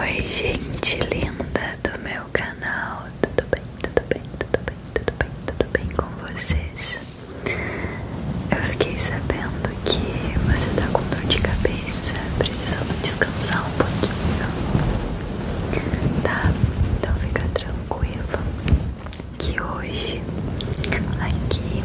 Oi gente linda do meu canal, tudo bem, tudo bem, tudo bem, tudo bem, tudo bem com vocês? Eu fiquei sabendo que você tá com dor de cabeça, precisando descansar um pouquinho, tá? Então fica tranquila que hoje, aqui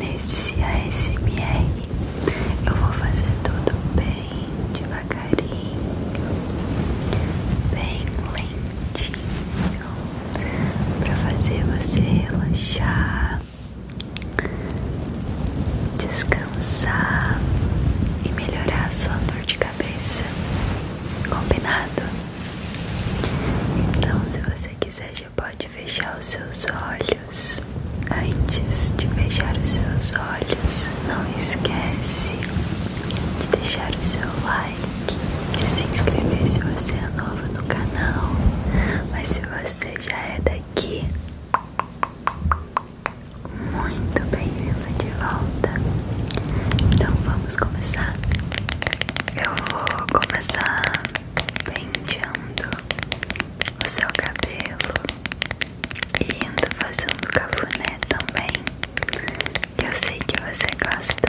nesse ASMR, eu vou fazer tudo bem bem devagarinho, bem lentinho, para fazer você relaxar, descansar e melhorar a sua dor de cabeça. Combinado? Então, se você quiser, já pode fechar os seus olhos. Antes de fechar os seus olhos, não esquece de deixar o seu like, de se inscrever se você é novo no canal. Mas se você já é daqui, muito bem-vindo de volta. Então vamos começar. Eu vou começar penteando o seu cabelo e ando fazendo cafuné também, que eu sei que você gosta.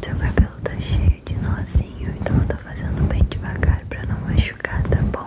Seu cabelo tá cheio de nozinho, então eu fazendo bem devagar pra não machucar, tá bom?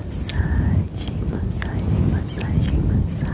massaging, massaging, massaging, massaging. Massaging,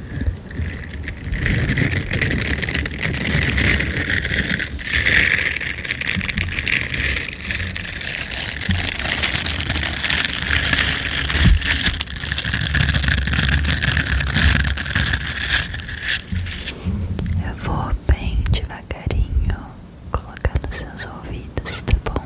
Eu vou bem devagarinho colocar nos seus ouvidos, tá bom?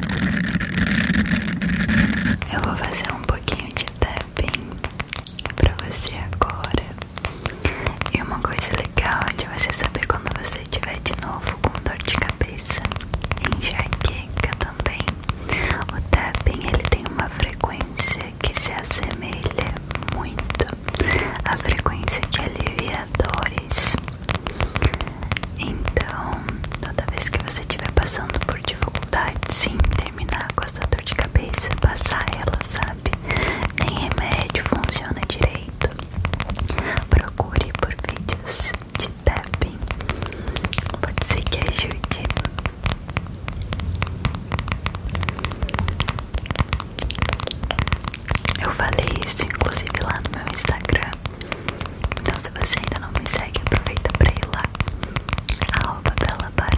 Eu vou fazer um pouquinho de tapping pra você agora. E uma coisa legal é de você saber quando você estiver de novo com dor de cabeça, enxaqueca também. O tapping ele tem uma frequência que se assemelha muito à frequência que alivia dores. Então, toda vez que você estiver passando por dificuldade, sim, terminar com a sua dor de cabeça, passar ela, sabe? Nem remédio funciona direito. Procure por vídeos de tapping. Pode ser que ajude. Eu falei isso inclusive lá no meu Instagram então se você ainda não me segue, aproveita pra ir lá a Arroba Bela Barbie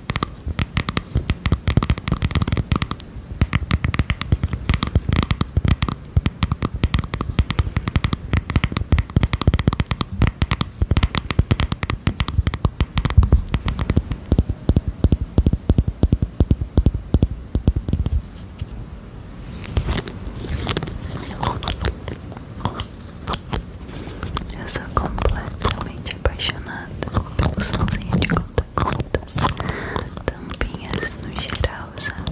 Eu sou completamente apaixonada pelo somzinho de conta sapatos, tampinhas no geral, sabe?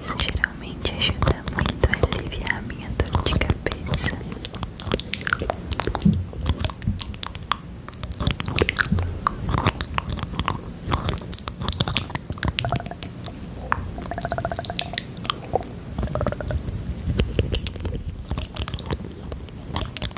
Isso geralmente ajuda muito a aliviar a minha dor de cabeça.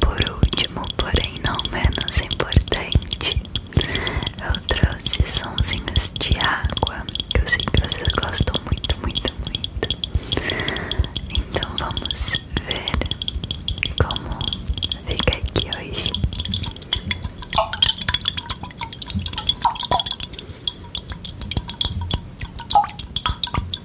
Por último, porém não menos importante, eu trouxe sonzinhos de água que eu sei que vocês gostam muito, muito, muito. Então vamos ver como fica aqui hoje.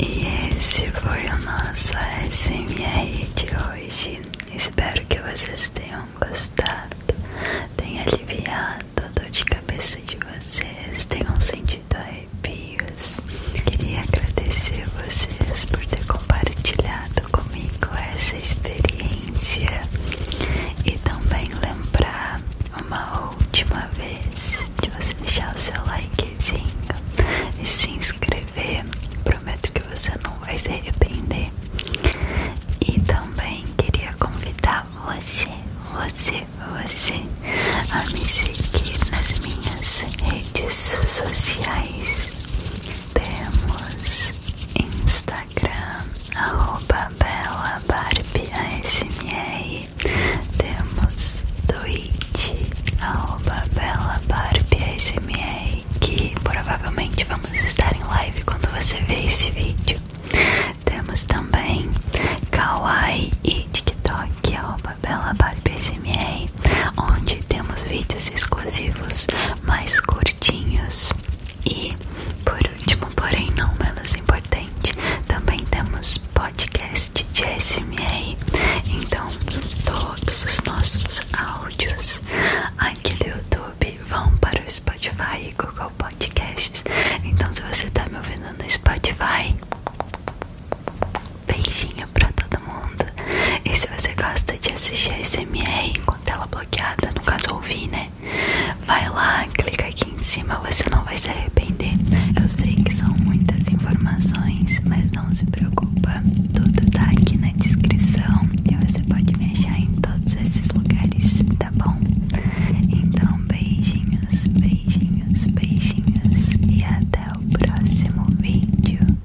E esse foi o nosso SMR de hoje. Espero que vocês tenham gostado, tenha aliviado a dor de cabeça de vocês, tenham sentido arrepios. Queria agradecer vocês por ter compartilhado comigo essa essa experiência e também lembrar uma última vez de você deixar o seu likezinho e se inscrever. Prometo que você não vai se arrepender. E também queria convidar você, você, você a me seguir nas minhas redes sociais. Temos Instagram. Instagram, arroba Bela Temos Twitch, arroba que provavelmente vamos estar em live quando você ver esse vídeo. Temos também Kawaii e TikTok, arroba onde temos vídeos exclusivos mais curtinhos. E por último, porém não menos importante, também temos podcast de SMR. Então, todos os nossos áudios aqui do YouTube vão para o Spotify e Google Podcasts. Então, se você está me ouvindo no Spotify, beijinho para todo mundo. E se você gosta de assistir SMR enquanto ela é bloqueada, no caso ouvir, né? vai lá, clica aqui em cima, você não vai se arrepender. Eu sei que são muitas informações, mas não se preocupa, tudo tá aqui na descrição e você pode me achar em todos esses lugares, tá bom? Então, beijinhos, beijinhos, beijinhos e até o próximo vídeo.